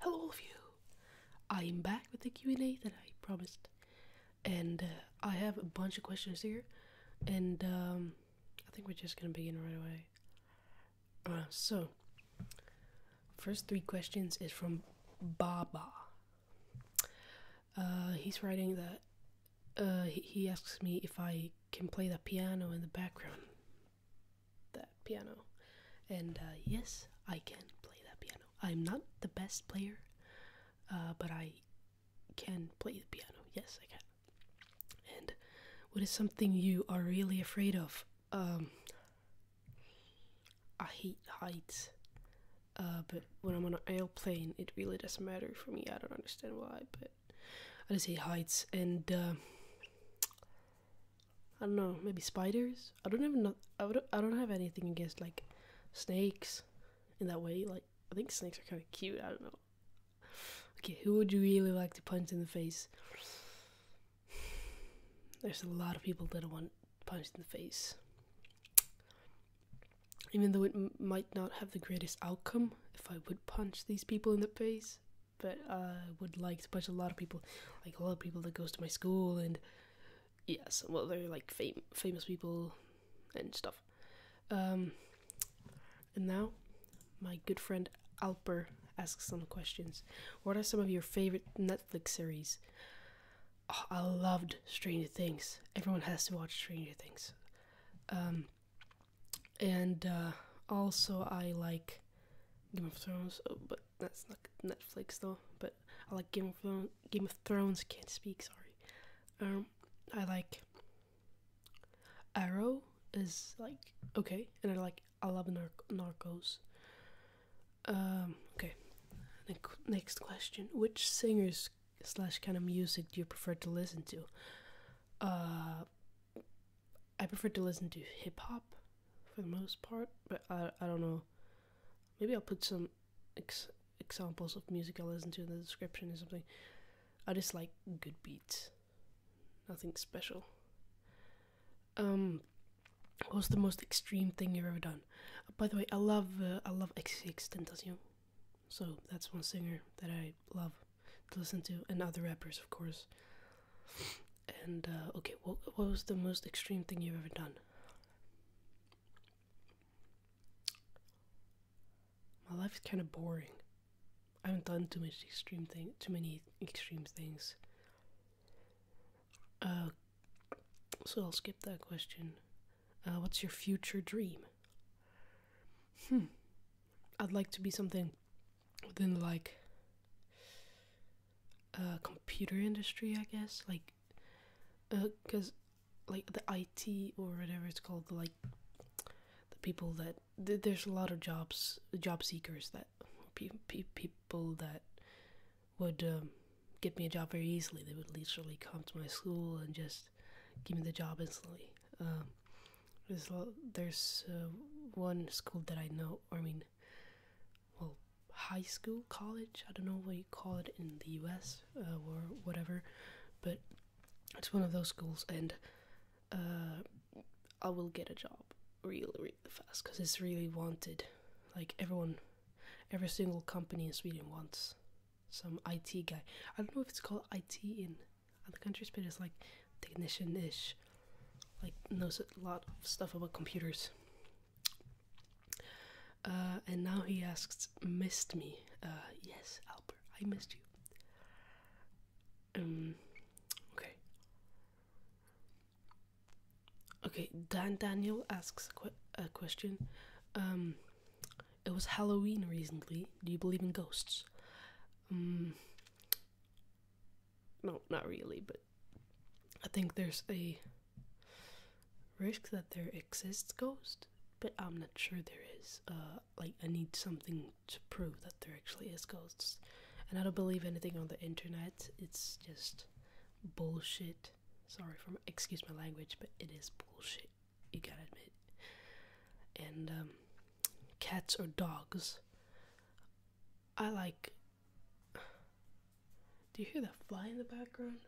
Hello, all I am back with the Q and A that I promised, and uh, I have a bunch of questions here, and um, I think we're just gonna begin right away. Uh, so, first three questions is from Baba. Uh, he's writing that. he asks me if I can play the piano in the background that piano. And uh, yes, I can play that piano. I'm not the best player, uh, but I can play the piano. Yes, I can. And what is something you are really afraid of? Um, I hate heights. Uh, but when I'm on an airplane, it really doesn't matter for me. I don't understand why, but I just hate heights. And I don't know, maybe spiders. I don't have no, I would, I don't have anything against like snakes in that way. Like I think snakes are kind of cute. I don't know. Okay, who would you really like to punch in the face? There's a lot of people that I want punched in the face. Even though it might not have the greatest outcome if I would punch these people in the face, but I uh, would like to push a lot of people, like a lot of people that goes to my school and yes, well they're like fam- famous people and stuff. Um, and now my good friend Alper asks some questions. What are some of your favorite Netflix series? Oh, I loved Stranger Things. Everyone has to watch Stranger Things. Um, and uh, also I like Game of Thrones, oh, but that's not Netflix though. But I like Game of Thrones. Game of Thrones can't speak. Sorry. Um, I like Arrow is like okay, and I like I love Narcos. Um, okay. next question: Which singers slash kind of music do you prefer to listen to? Uh, I prefer to listen to hip hop for the most part, but I, I don't know. Maybe I'll put some examples of music I listen to in the description or something. I just like good beats, nothing special. Um, what the most extreme thing you've ever done? by the way, I love uh, I love XCX so that's one singer that I love to listen to, and other rappers, of course. And uh, okay, what what was the most extreme thing you've ever done? My life's kind of boring. I haven't done too much extreme thing, too many extreme things. Uh, so I'll skip that question. Uh, what's your future dream? Hmm. I'd like to be something within like uh computer industry i guess like because uh, like the it or whatever it's called like the people that there's a lot of jobs job seekers that pe pe people that would um, get me a job very easily they would literally come to my school and just give me the job instantly um, there's, there's uh, one school that i know i mean well high school college i don't know what you call it in the us uh, or whatever but it's one of those schools and uh, i will get a job really really fast because it's really wanted like everyone every single company in sweden wants some it guy i don't know if it's called it in other countries but it's like technician ish, like knows a lot of stuff about computers. Uh, and now he asks, "Missed me? Uh, yes, Albert, I missed you." Um, okay. Okay, Dan Daniel asks a, question. Um, it was Halloween recently. Do you believe in ghosts? Um, no, not really, but I think there's a risk that there exists ghosts, but I'm not sure there is. Uh, like, I need something to prove that there actually is ghosts. And I don't believe anything on the internet, it's just bullshit. Sorry for excuse my language, but it is bullshit. You gotta admit. And um, cats or dogs I like. Do you hear the fly in the background?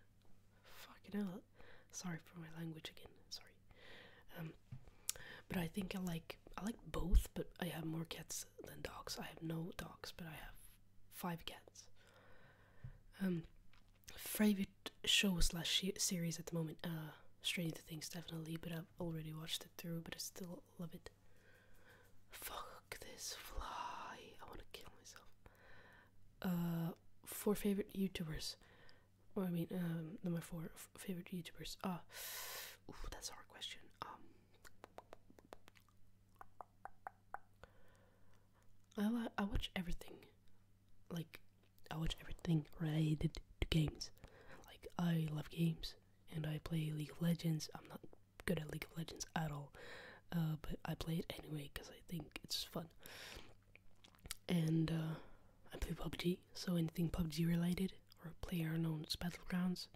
Fucking hell. Sorry for my language again. Sorry. Um, but I think I like I like both, but I have more cats than dogs. I have no dogs, but I have five cats. Um, favorite show slash series at the moment. Uh, Stranger Things definitely, but I've already watched it through, but I still love it. Fuck this fly. I want to kill myself. Uh, four favorite YouTubers. Or I mean, um, my four favorite YouTubers. Ah, that's a hard question. Um, I I watch everything. Like, I watch everything related to games. Like, I love games and I play League of Legends. I'm not good at League of Legends at all, uh, but I play it anyway because I think it's fun. And uh, I play PUBG, so anything PUBG related or player unknown's battlegrounds.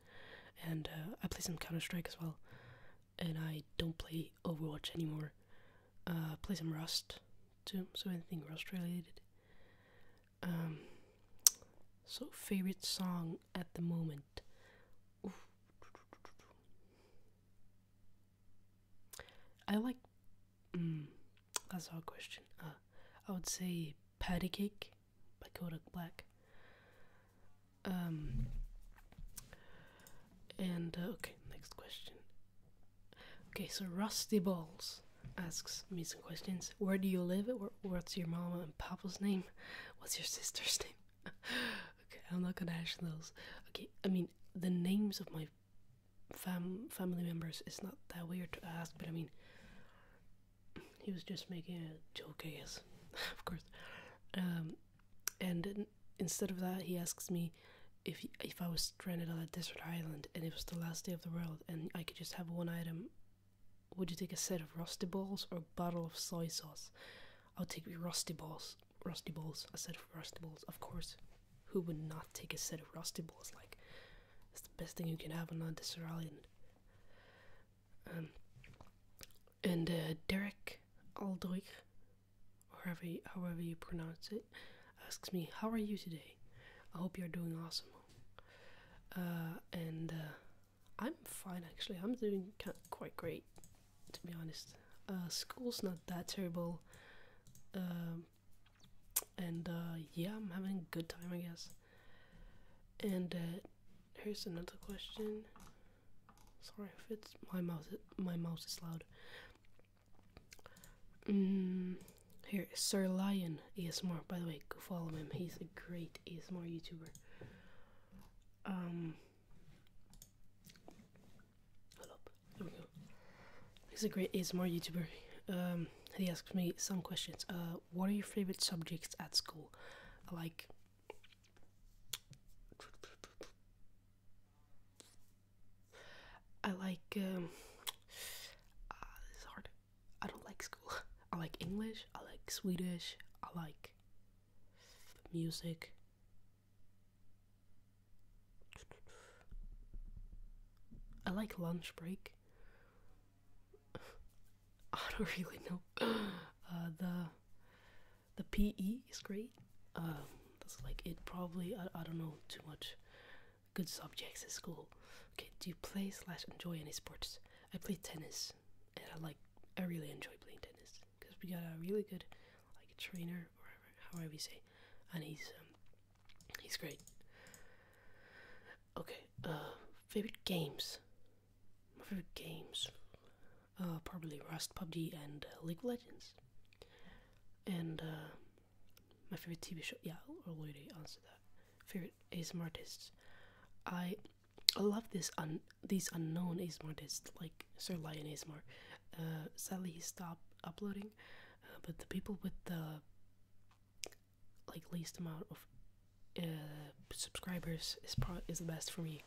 And uh, I play some Counter Strike as well. And I don't play Overwatch anymore. I play some Rust too, so anything Rust related. Um, so favorite song at the moment. I like. Mm, that's our question. Uh, I would say "Patty Cake" by Kodak Black. Um. And uh, okay, next question. Okay, so Rusty Balls asks me some questions. Where do you live? What's your mama and papa's name? What's your sister's name? okay, I'm not gonna ask those. Okay, I mean the names of my fam family members is not that weird to ask, but I mean he was just making a joke, yes, of course. Um, and instead of that, he asks me if if I was stranded on a desert island and it was the last day of the world and I could just have one item would you take a set of rusty balls or a bottle of soy sauce? I'll take rusty balls. Rusty balls. A set of rusty balls, of course. Who would not take a set of rusty balls? Like, it's the best thing you can have on a desert island. Um, and uh, Derek Aldrich, or however you pronounce it, asks me, "How are you today? I hope you're doing awesome." Uh, and uh, I'm fine actually. I'm doing quite great, to be honest. Uh, school's not that terrible, um, and uh, yeah, I'm having a good time, I guess. And uh, here's another question. Sorry if it's my mouth. My mouse is loud. Mm, here, Sir Lion Aaron ASMR. By the way, go follow him. He's a great ASMR YouTuber. Um, hold up. There we go. He's a great ASMR YouTuber. Um, he asks me some questions. Uh, what are your favorite subjects at school? I like. I like. Um, ah, this is hard. I don't like school. I like English, I like Swedish, I like music. I like lunch break. I don't really know. Uh, the the PE is great. Um, that's like it. Probably I, I don't know too much good subjects at school. Okay, do you play slash enjoy any sports? I play tennis and I like I really enjoy playing tennis because we got a really good like trainer or however we say, and he's um, he's great. Okay, uh, favorite games. My favorite games, uh, probably Rust, PUBG, and uh, League of Legends. And uh, my favorite TV show. Yeah, i already answered that. Favorite ASMR artists. I I love this un these unknown ASMR like Sir Lion ASMR. Uh, sadly, he stopped uploading, uh, but the people with the like least amount of uh, subscribers is pro is the best for me.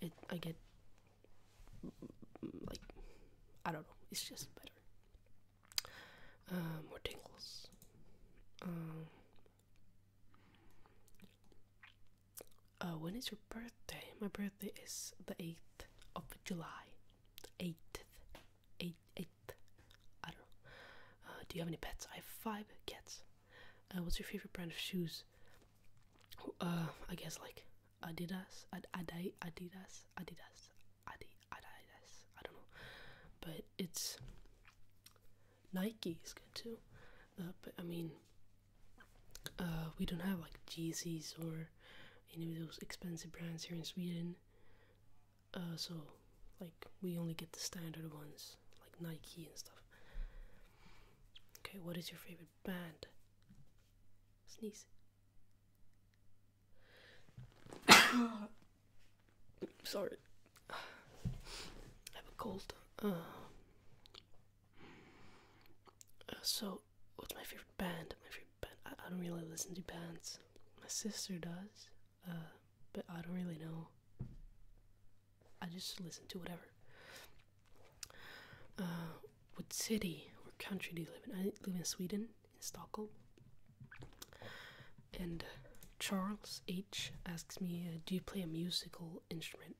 It I get like I don't know. It's just better. more tingles. Um, uh, when is your birthday? My birthday is the 8th of July. 8th. 8th. 8th. I don't know. Uh, do you have any pets? I have five cats. Uh, what's your favorite brand of shoes? Uh, I guess like Adidas. Ad Adi Adidas. Adidas. Adi Adidas. I don't know. But it's Nike is good too, uh, but I mean, uh, we don't have like Jeezys or any of those expensive brands here in Sweden. Uh, so, like, we only get the standard ones, like Nike and stuff. Okay, what is your favorite band? Sneeze. Sorry, I have a cold. Uh, so, what's my favorite band? My favorite band. I, I don't really listen to bands. My sister does, uh, but I don't really know. I just listen to whatever. Uh, what city or country do you live in? I live in Sweden, in Stockholm. And uh, Charles H asks me, uh, "Do you play a musical instrument?"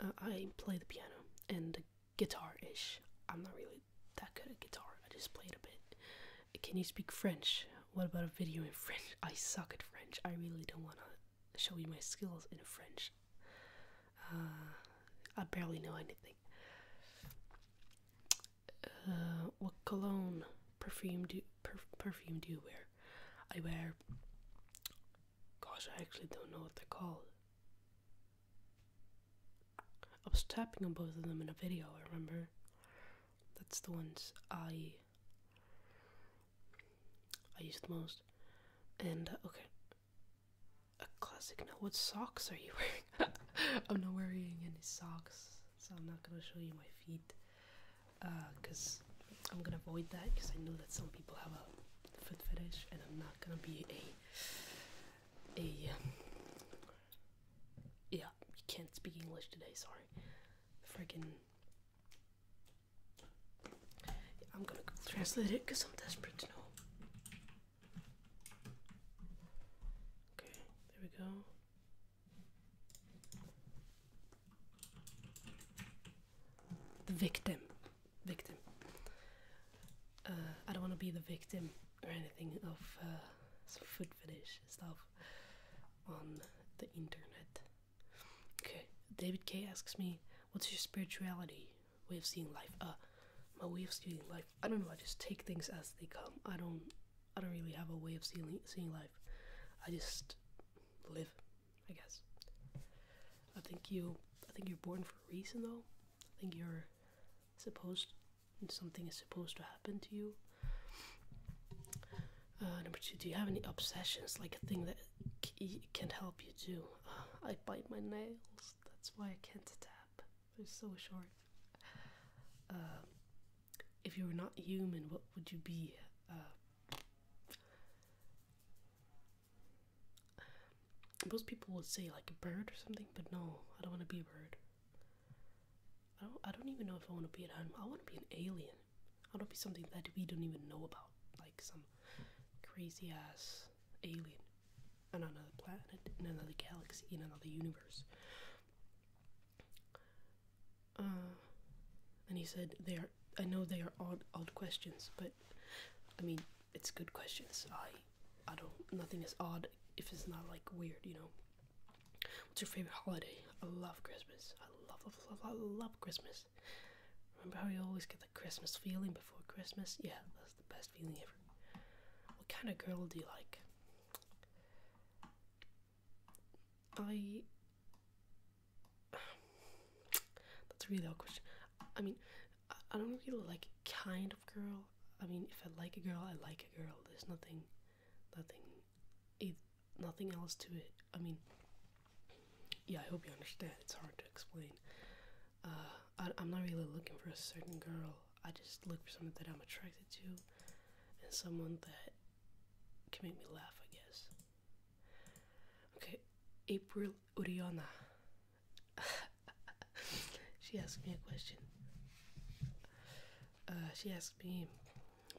Uh, I play the piano and guitar-ish. I'm not really that good at guitar. I just played a bit. Can you speak French? What about a video in French? I suck at French. I really don't want to show you my skills in French. I barely know anything. what cologne perfume do perf perfume do you wear? I wear. Gosh, I actually don't know what they're called. I was tapping on both of them in a video, I remember. That's the ones I. I use the most. And, uh, okay. A classic. Now, what socks are you wearing? I'm not wearing any socks so I'm not gonna show you my feet because uh, I'm gonna avoid that because I know that some people have a foot fetish and I'm not gonna be a a um, yeah you can't speak English today sorry freaking I'm gonna translate it because I'm desperate to know okay there we go the victim. Victim. Uh, I don't want to be the victim or anything of uh, some food fetish stuff on the internet. Okay, David K asks me, What's your spirituality? Way of seeing life? Uh, my way of seeing life. I don't know, I just take things as they come. I don't I don't really have a way of seeing seeing life. I just live, I guess. I think you I think you're born for a reason though. I think you're supposed something is supposed to happen to you. Uh, number two, do you have any obsessions, like a thing that can help you do? I bite my nails. That's why I can't tap. They're so short. Uh, if you were not human, what would you be? Uh, most people would say like a bird or something, but no, I don't want to be a bird. I don't. I don't even know if I want to be an animal. I want to be an alien. I want to be something that we don't even know about, like some crazy ass alien on another planet, in another galaxy, in another universe. Uh, and he said, "They are. I know they are odd, odd questions, but I mean, it's good questions. I, I don't. Nothing is odd if it's not like weird, you know." What's your favorite holiday? I love Christmas. I love, love, love, love, Christmas. Remember how you always get the Christmas feeling before Christmas? Yeah, that's the best feeling ever. What kind of girl do you like? I. That's a really awkward question. I mean, I don't really like kind of girl. I mean, if I like a girl, I like a girl. There's nothing, nothing, it, nothing else to it. I mean, yeah, I hope you understand. It's hard to explain. Uh, I, am not really looking for a certain girl. I just look for someone that I'm attracted to, and someone that can make me laugh, I guess. Okay, April Uriana. she asked me a question. Uh, she asked me,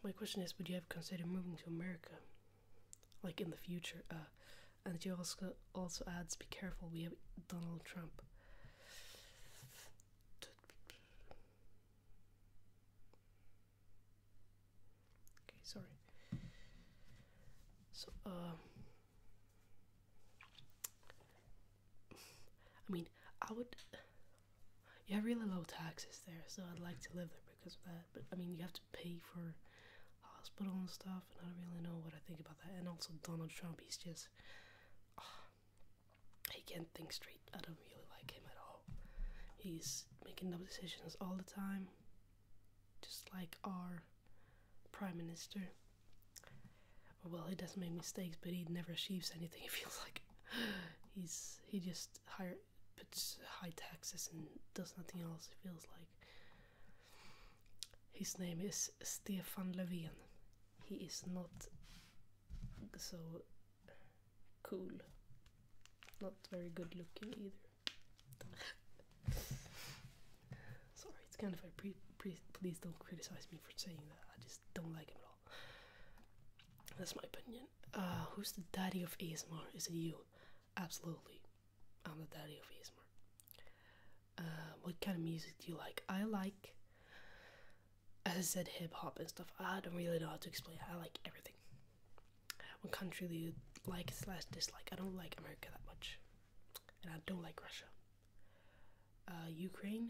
my question is, would you have considered moving to America? Like in the future? Uh, and she also, also adds, be careful, we have Donald Trump. Okay, sorry. So, uh, I mean, I would. You have really low taxes there, so I'd like to live there because of that. But I mean, you have to pay for hospital and stuff, and I don't really know what I think about that. And also, Donald Trump, he's just he can't think straight. I don't really like him at all. He's making dumb decisions all the time, just like our prime minister. Well, he does not make mistakes, but he never achieves anything. It feels like he's he just high puts high taxes and does nothing else. It feels like. His name is Stefan Löfven. He is not so cool. Not very good looking either. Sorry, it's kind of like, please don't criticize me for saying that. I just don't like him at all. That's my opinion. Uh, who's the daddy of ASMR? Is it you? Absolutely. I'm the daddy of ASMR. Uh, what kind of music do you like? I like as I said, hip hop and stuff. I don't really know how to explain. I like everything. One country do you like slash dislike? I don't like America that much, and I don't like Russia. Uh, Ukraine.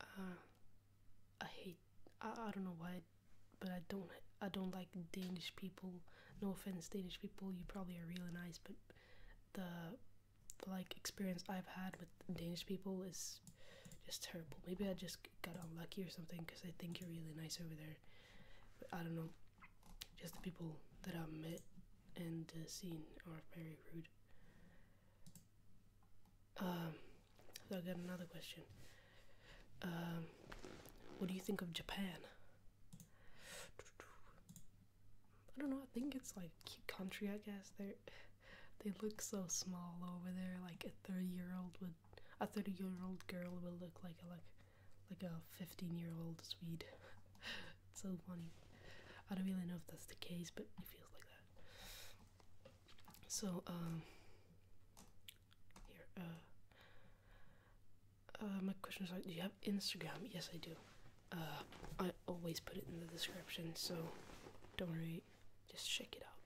Uh, I hate. I, I don't know why, but I don't. I don't like Danish people. No offense, Danish people. You probably are really nice, but the, the like experience I've had with Danish people is just terrible. Maybe I just got unlucky or something because I think you're really nice over there. But I don't know. Just the people that I've met and uh, seen are very rude. Um, so I got another question. Um, what do you think of Japan? I don't know. I think it's like cute country. I guess they're they look so small over there. Like a thirty-year-old would, a thirty-year-old girl will look like a like, like a fifteen-year-old Swede. it's so funny. I don't really know if that's the case, but it feels like that. So um, here uh. Uh, my question is do you have Instagram? Yes, I do. Uh, I always put it in the description, so don't worry, just check it out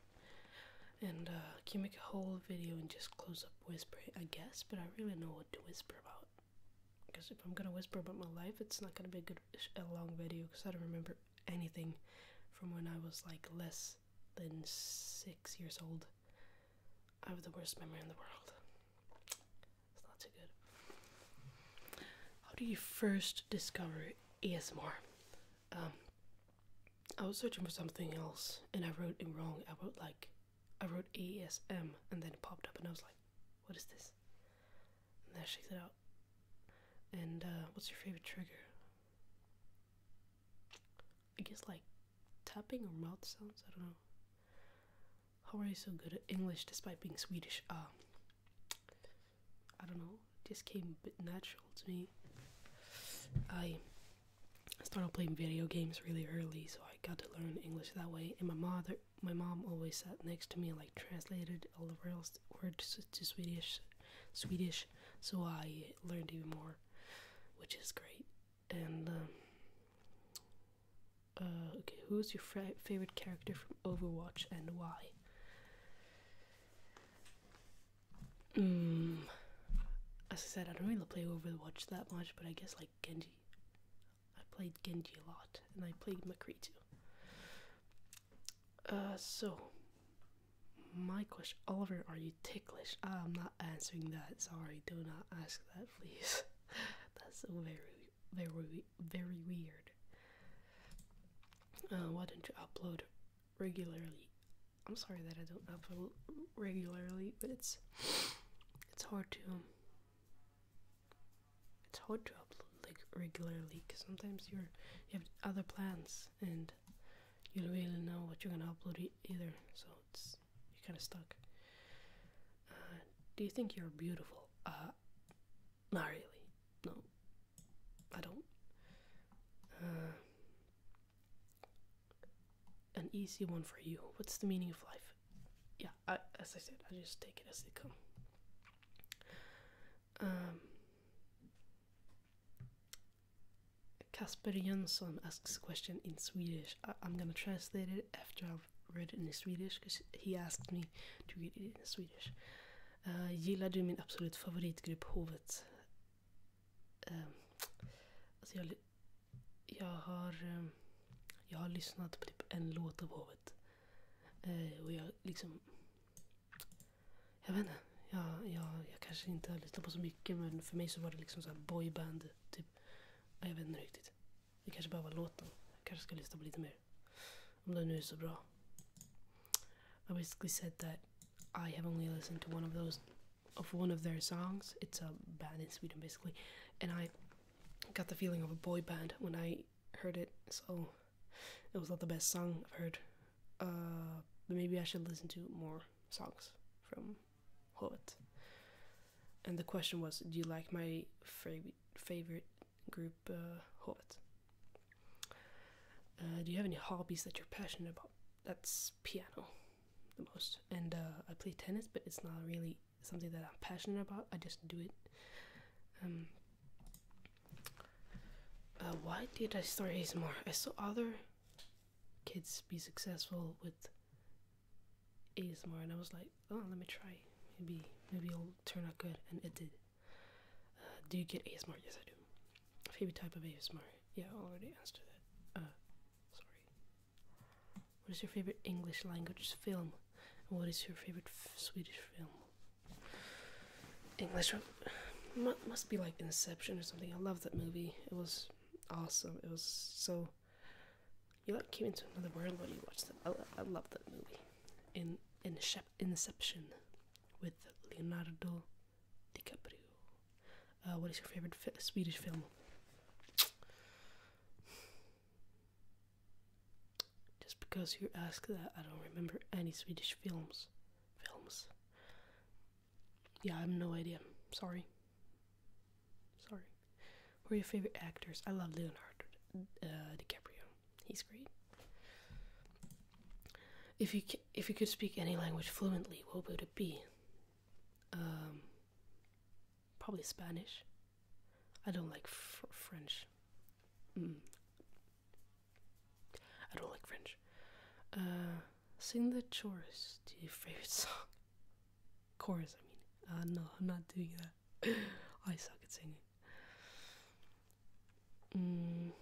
and I uh, can make a whole video and just close up whispering, I guess, but I really know what to whisper about. Because if I'm gonna whisper about my life, it's not gonna be a good, a long video because I don't remember anything from when I was like less than six years old. I have the worst memory in the world. It's not too good. How do you first discover ASMR? Um, I was searching for something else and I wrote it wrong. I wrote like, I wrote E S M, and then it popped up and I was like, what is this? And that shakes it out. And uh, what's your favorite trigger? I guess like tapping or mouth sounds. I don't know. How are you so good at English despite being Swedish? Ah. I don't know, just came a bit natural to me. I started playing video games really early, so I got to learn English that way. And my mother, my mom, always sat next to me and like translated all the words to Swedish, Swedish. So I learned even more, which is great. And um, uh, okay, who's your favorite character from Overwatch and why? Mm. as I said, I don't really play Overwatch that much, but I guess like Genji. I played Genji a lot, and I played McCree too. Uh, so, my question, Oliver, are you ticklish? Ah, I'm not answering that. Sorry, do not ask that, please. That's so very, very, very weird. Uh, why don't you upload regularly. I'm sorry that I don't upload regularly, but it's it's hard to um, it's hard to upload like regularly because sometimes you're you have other plans and you don't really know what you're gonna upload either, so it's you're kind of stuck. Uh, do you think you're beautiful? Uh, not really. No, I don't. Uh, an easy one for you. What's the meaning of life? Yeah, as I said, I just take it as they come. Um, Kasper Jönsson asks a question in Swedish. I, am gonna translate it after I've read it in Swedish because he asked me to read it in Swedish. Uh, gillar du min absolut favoritgrupp Hovet? Uh, alltså jag, jag, har, uh, jag har lyssnat på typ en låt av Hovet. Uh, och jag liksom... Jag vet inte. Jag, jag, jag kanske inte har lyssnat på så mycket men för mig så var det liksom så boyband. Typ. Jag vet inte riktigt. Det kanske bara var låten. Jag kanske ska lyssna på lite mer. Om den nu är så bra. I basically said that I have only listened to one of those of one of their songs. It's a band in Sweden basically, and I got the feeling of a boy band when I heard it. So it was not the best song I've heard. but uh, maybe I should listen to more songs from Hot. And the question was, do you like my favorite favorite group uh, Hot? Uh, do you have any hobbies that you're passionate about? That's piano the most. And uh, I play tennis, but it's not really something that I'm passionate about. I just do it. Um, uh, why did I start ASMR? I saw other kids be successful with ASMR, and I was like, oh, let me try. Maybe, maybe it'll turn out good, and it did. Uh, do you get ASMR? Yes, I do. Favorite type of ASMR? Yeah, I already answered that. Uh, sorry. What is your favorite English language film? what is your favorite Swedish film? English M must be like Inception or something. I love that movie. It was awesome. It was so. You like came into another world when you watched it. I, love that movie. in Inception with Leonardo DiCaprio. Uh, what is your favorite Swedish film? Just because you ask that, I don't remember any Swedish films. Films. Yeah, I have no idea. Sorry. Sorry. Who are your favorite actors? I love Leonardo uh, DiCaprio. He's great. If you if you could speak any language fluently, what would it be? Um, probably Spanish. I don't like French. Mm. I don't like French. Uh, sing the chorus to your favorite song. Chorus, I mean. Uh, no, I'm not doing that. I suck at singing. Mm.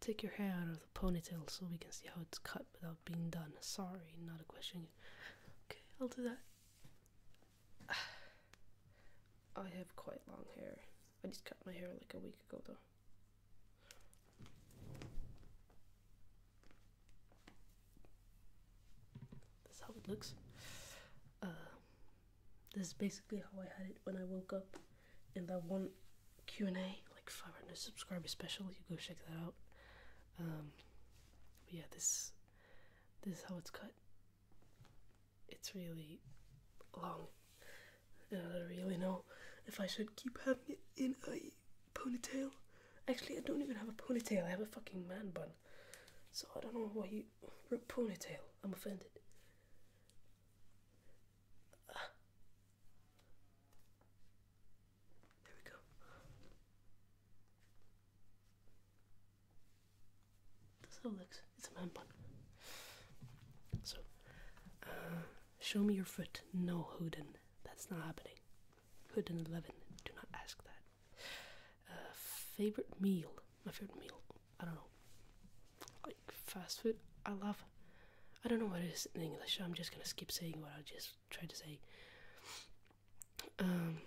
Take your hair out of the ponytail so we can see how it's cut without being done. Sorry, not a question. Okay, I'll do that. I have quite long hair. I just cut my hair like a week ago though. That's how it looks. Uh, this is basically how I had it when I woke up in that one Q&A, like 500 subscriber special. You go check that out. Um, but yeah, this this is how it's cut. It's really long. And I don't really know if I should keep having it in a ponytail. Actually, I don't even have a ponytail. I have a fucking man bun. So I don't know why you wrote ponytail. I'm offended. There we go. That's how it looks. It's a man bun. So, uh, show me your foot. No, Hoodin. That's not happening. Hoodin 11. Do not ask that. Uh, favorite meal. My favorite meal. I don't know, like fast food. I love. I don't know what is in English. I'm just gonna skip saying what I just tried to say. Um,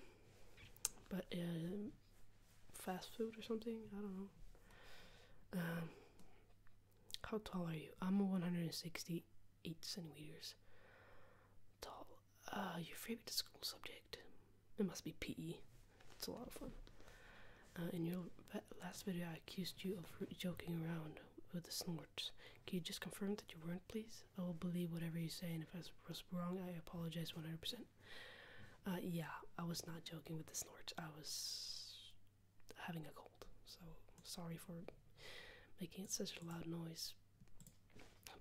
but uh, fast food or something. I don't know. Um, how tall are you? I'm 168 centimeters tall. Uh, your favorite school subject? It must be PE. It's a lot of fun. Uh, in your last video, I accused you of joking around with the snorts. Can you just confirm that you weren't, please? I will believe whatever you say, and if I was wrong, I apologize 100%. Uh, yeah, I was not joking with the snorts. I was having a cold, so sorry for making such a loud noise.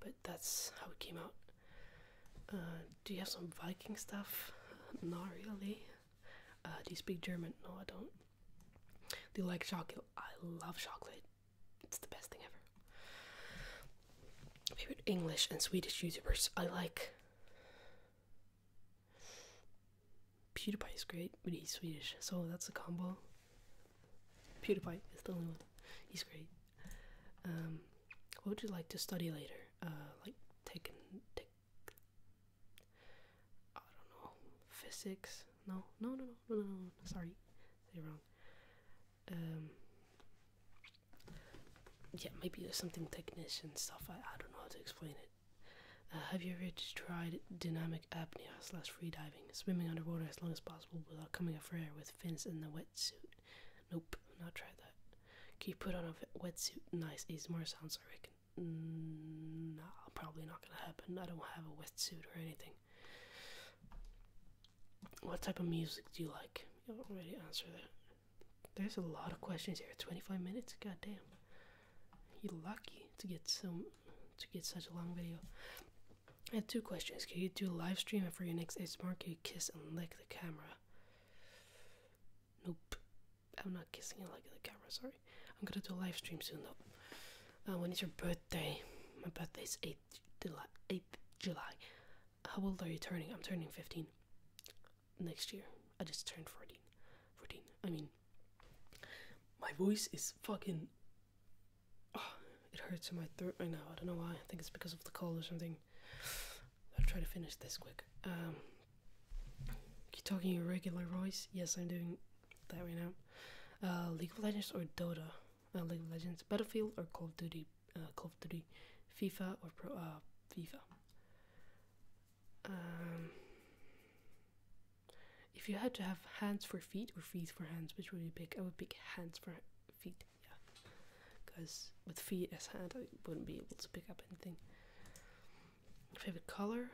But that's how it came out. Uh, do you have some Viking stuff? Not really. Uh, do you speak German? No, I don't. Do you like chocolate? I love chocolate. It's the best thing ever. Favorite English and Swedish YouTubers? I like. PewDiePie is great, but he's Swedish, so that's a combo. PewDiePie is the only one. He's great. Um, what would you like to study later? Uh, like take I don't know, physics. No, no, no, no, no, no, no. Sorry, say wrong. Um, yeah, maybe there's something and stuff. I, I don't know how to explain it. Uh, have you ever tried dynamic apnea slash freediving, swimming underwater as long as possible without coming up for air with fins in the wetsuit? Nope, not tried that. Can you put on a wetsuit? Nice, more sounds, I reckon. Mm, no, probably not gonna happen. I don't have a wetsuit or anything. What type of music do you like? You already answered that. There's a lot of questions here. 25 minutes? God damn. You're lucky to get some to get such a long video. I have two questions. Can you do a live stream and for your next ASMR? Can you kiss and lick the camera? Nope. I'm not kissing you like in the camera, sorry. I'm gonna do a live stream soon though. Uh, when is your birthday? My birthday is 8th July. How old are you turning? I'm turning 15 next year. I just turned 14. 14. I mean, my voice is fucking. Ah, it hurts in my throat right now. I don't know why. I think it's because of the cold or something. I'll try to finish this quick. Um, you talking in regular voice? Yes, I'm doing that right now. Uh, League of Legends or Dota? Uh, League of Legends, Battlefield or Call of Duty? Uh, Call of Duty, FIFA or Pro? FIFA. Um, if you had to have hands for feet or feet for hands, which would you pick? I would pick hands for feet. Yeah, because with feet as hands, I wouldn't be able to pick up anything. Favorite color?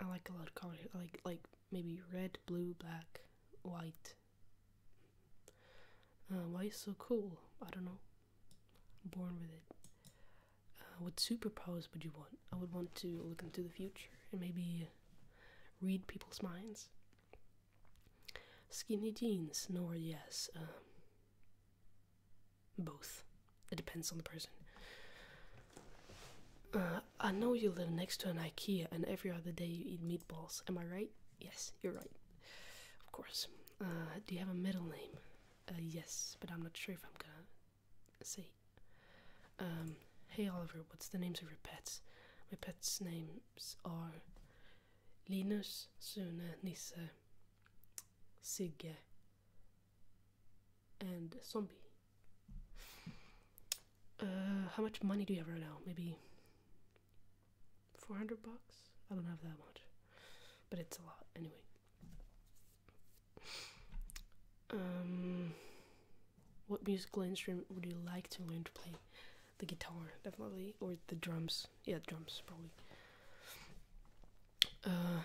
I like a lot of colors. like like maybe red, blue, black, white. Uh, why is so cool? I don't know. born with it. Uh, what superpowers would you want? I would want to look into the future and maybe read people's minds. Skinny jeans, nor yes. Uh, both. It depends on the person. Uh, I know you live next to an IKEA and every other day you eat meatballs. Am I right? Yes, you're right. Of course. Uh, do you have a middle name? Uh, yes, but I'm not sure if I'm gonna say. Um, hey Oliver, what's the names of your pets? My pets' names are Linus, and Nisse, Sigge, and Zombie. Uh, how much money do you have right now? Maybe 400 bucks? I don't have that much, but it's a lot anyway. Um, what musical instrument would you like to learn to play? The guitar, definitely, or the drums. Yeah, drums probably. Uh, trying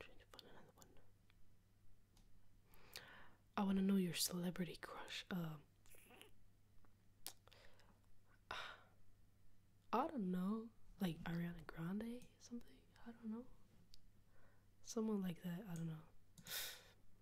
to find another one. I want to know your celebrity crush. Uh, I don't know, like Ariana Grande, something. I don't know. Someone like that. I don't know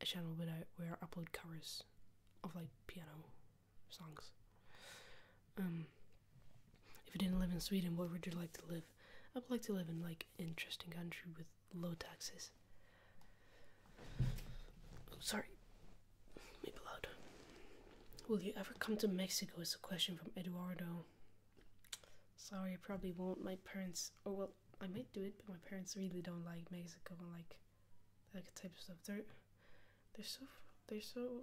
a channel where I, where I upload covers of like piano songs. Um, if you didn't live in Sweden, where would you like to live? I would like to live in like interesting country with low taxes. Oh, sorry, maybe loud. Will you ever come to Mexico? Is a question from Eduardo. Sorry, I probably won't. My parents, or oh, well, I might do it, but my parents really don't like Mexico and like that types of stuff. They're they're so they're so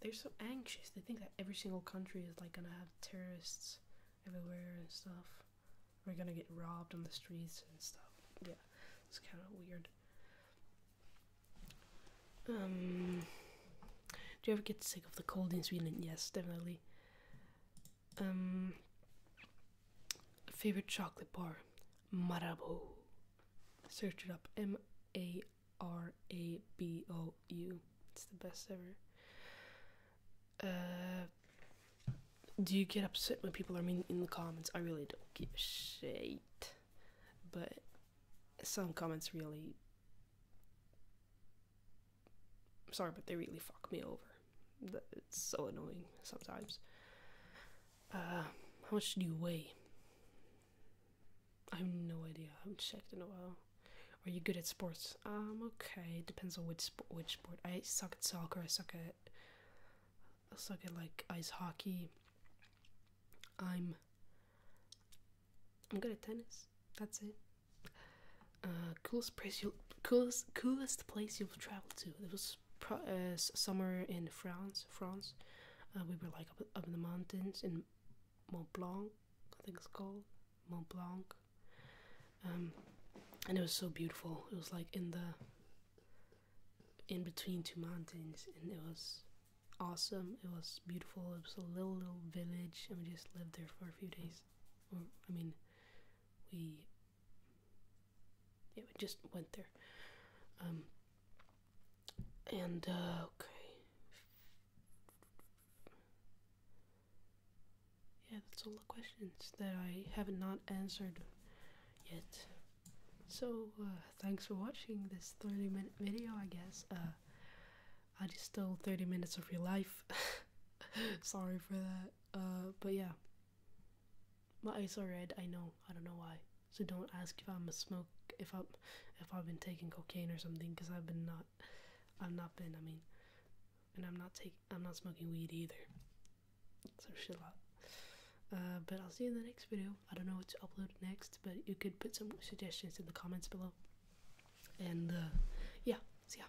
they're so anxious. They think that every single country is like gonna have terrorists everywhere and stuff. We're gonna get robbed on the streets and stuff. Yeah, it's kind of weird. Um, do you ever get sick of the cold in Sweden? Yes, definitely. Um, favorite chocolate bar, Marabou. Search it up, M A R A B O U. It's the best ever. Uh, do you get upset when people are mean in the comments? I really don't give a shit, but some comments really sorry, but they really fuck me over. It's so annoying sometimes. Uh, how much do you weigh? I have no idea. I haven't checked in a while. Are you good at sports? Um, okay. Depends on which sport. which sport. I suck at soccer. I suck at I suck at like ice hockey. I'm I'm good at tennis. That's it. Uh, coolest place you coolest coolest place you've traveled to. It was uh, summer in France. France. Uh, we were like up, up in the mountains in Mont Blanc. I think it's called Mont Blanc. Um, and it was so beautiful. It was like in the in between two mountains, and it was awesome. It was beautiful. It was a little little village, and we just lived there for a few days. I mean, we yeah, we just went there. Um, and, uh, okay. Yeah, that's all the questions that I have not answered yet. So, uh, thanks for watching this 30 minute video, I guess. Uh, I just stole 30 minutes of your life. Sorry for that. Uh, but yeah my eyes are red. I know. I don't know why. So don't ask if I'm a smoke if I'm if I've been taking cocaine or something because I've been not i am not been. I mean, and I'm not taking I'm not smoking weed either. So shit lot. Uh, but I'll see you in the next video. I don't know what to upload next, but you could put some suggestions in the comments below. And uh, yeah, see ya.